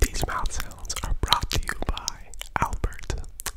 These mouth sounds are brought to you by Albert.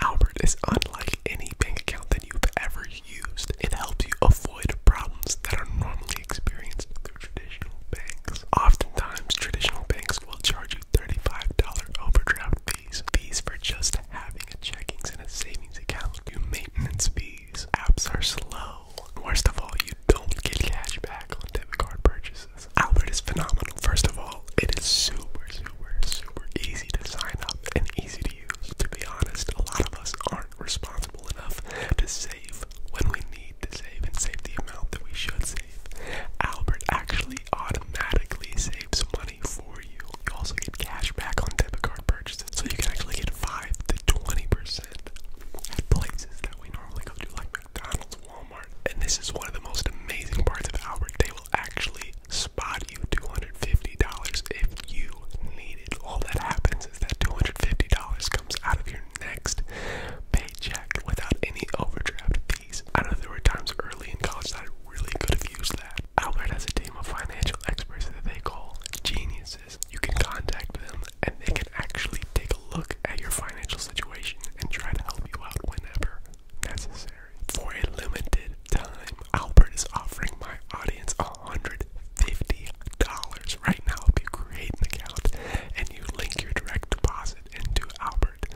Albert is unlike any bank account that you've ever used. It helps you avoid problems that are normally experienced through traditional banks. Oftentimes, traditional banks will charge you $35 overdraft fees, fees for just having a checking and a savings account, you maintenance fees. Apps are slow. Worst of all, you don't get cash back on debit card purchases. Albert is phenomenal. First of all, it is super, super, super easy to sign up and easy to use. To be honest, a lot of us aren't responsible enough to save when we need to save and save the amount that we should save. Albert actually automatically saves money for you. You also get cash back on debit card purchases, so you can actually get 5 to 20% at places that we normally go to, like McDonald's, Walmart. And this is one of the most amazing parts of Albert. They will actually spot you $250 if you need it. All that happens is that $250 comes out of your next paycheck without any overdraft fees. I know there were times early in college that I really could have used that. Albert has a team of financial experts that they call geniuses. You can contact them and they can actually take look at your financial situation and try to help you out whenever necessary. For a limited time, Albert is offering my audience $150 right now if you create an account and you link your direct deposit into Albert.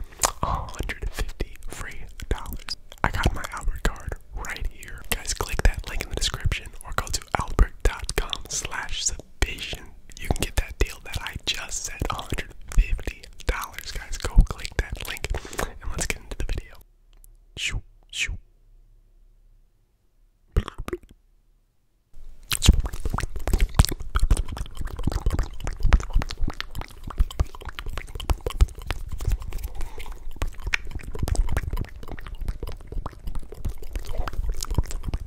150 free dollars. I got my Albert card right here. Guys, click that link in the description or go to albert.com slash you can get that deal that I just said $150. Guys, go click that link and let's get into the video. Shoo, shoo.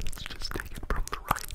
Let's just take it from the right.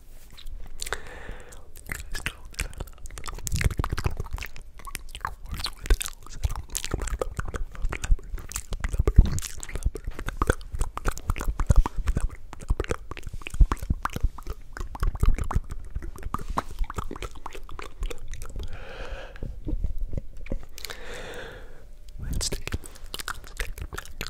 guys know that I love words with L's and Let's take it, let's take it back, back,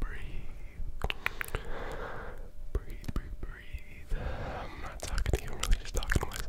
breathe. Breathe, breathe, I'm not talking to you, really just talking to myself.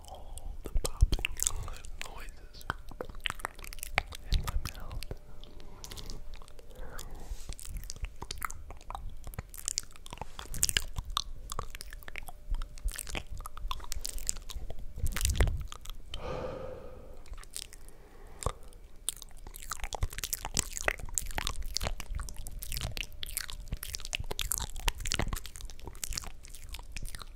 all the popping noises in my mouth.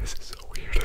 This is so weird.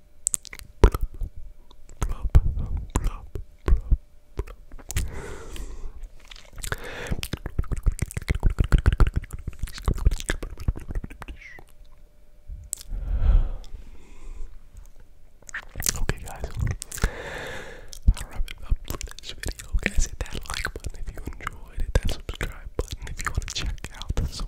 Okay, guys, wrap it up for this video. Guys, hit that like button if you enjoyed, hit that subscribe button if you want to check out some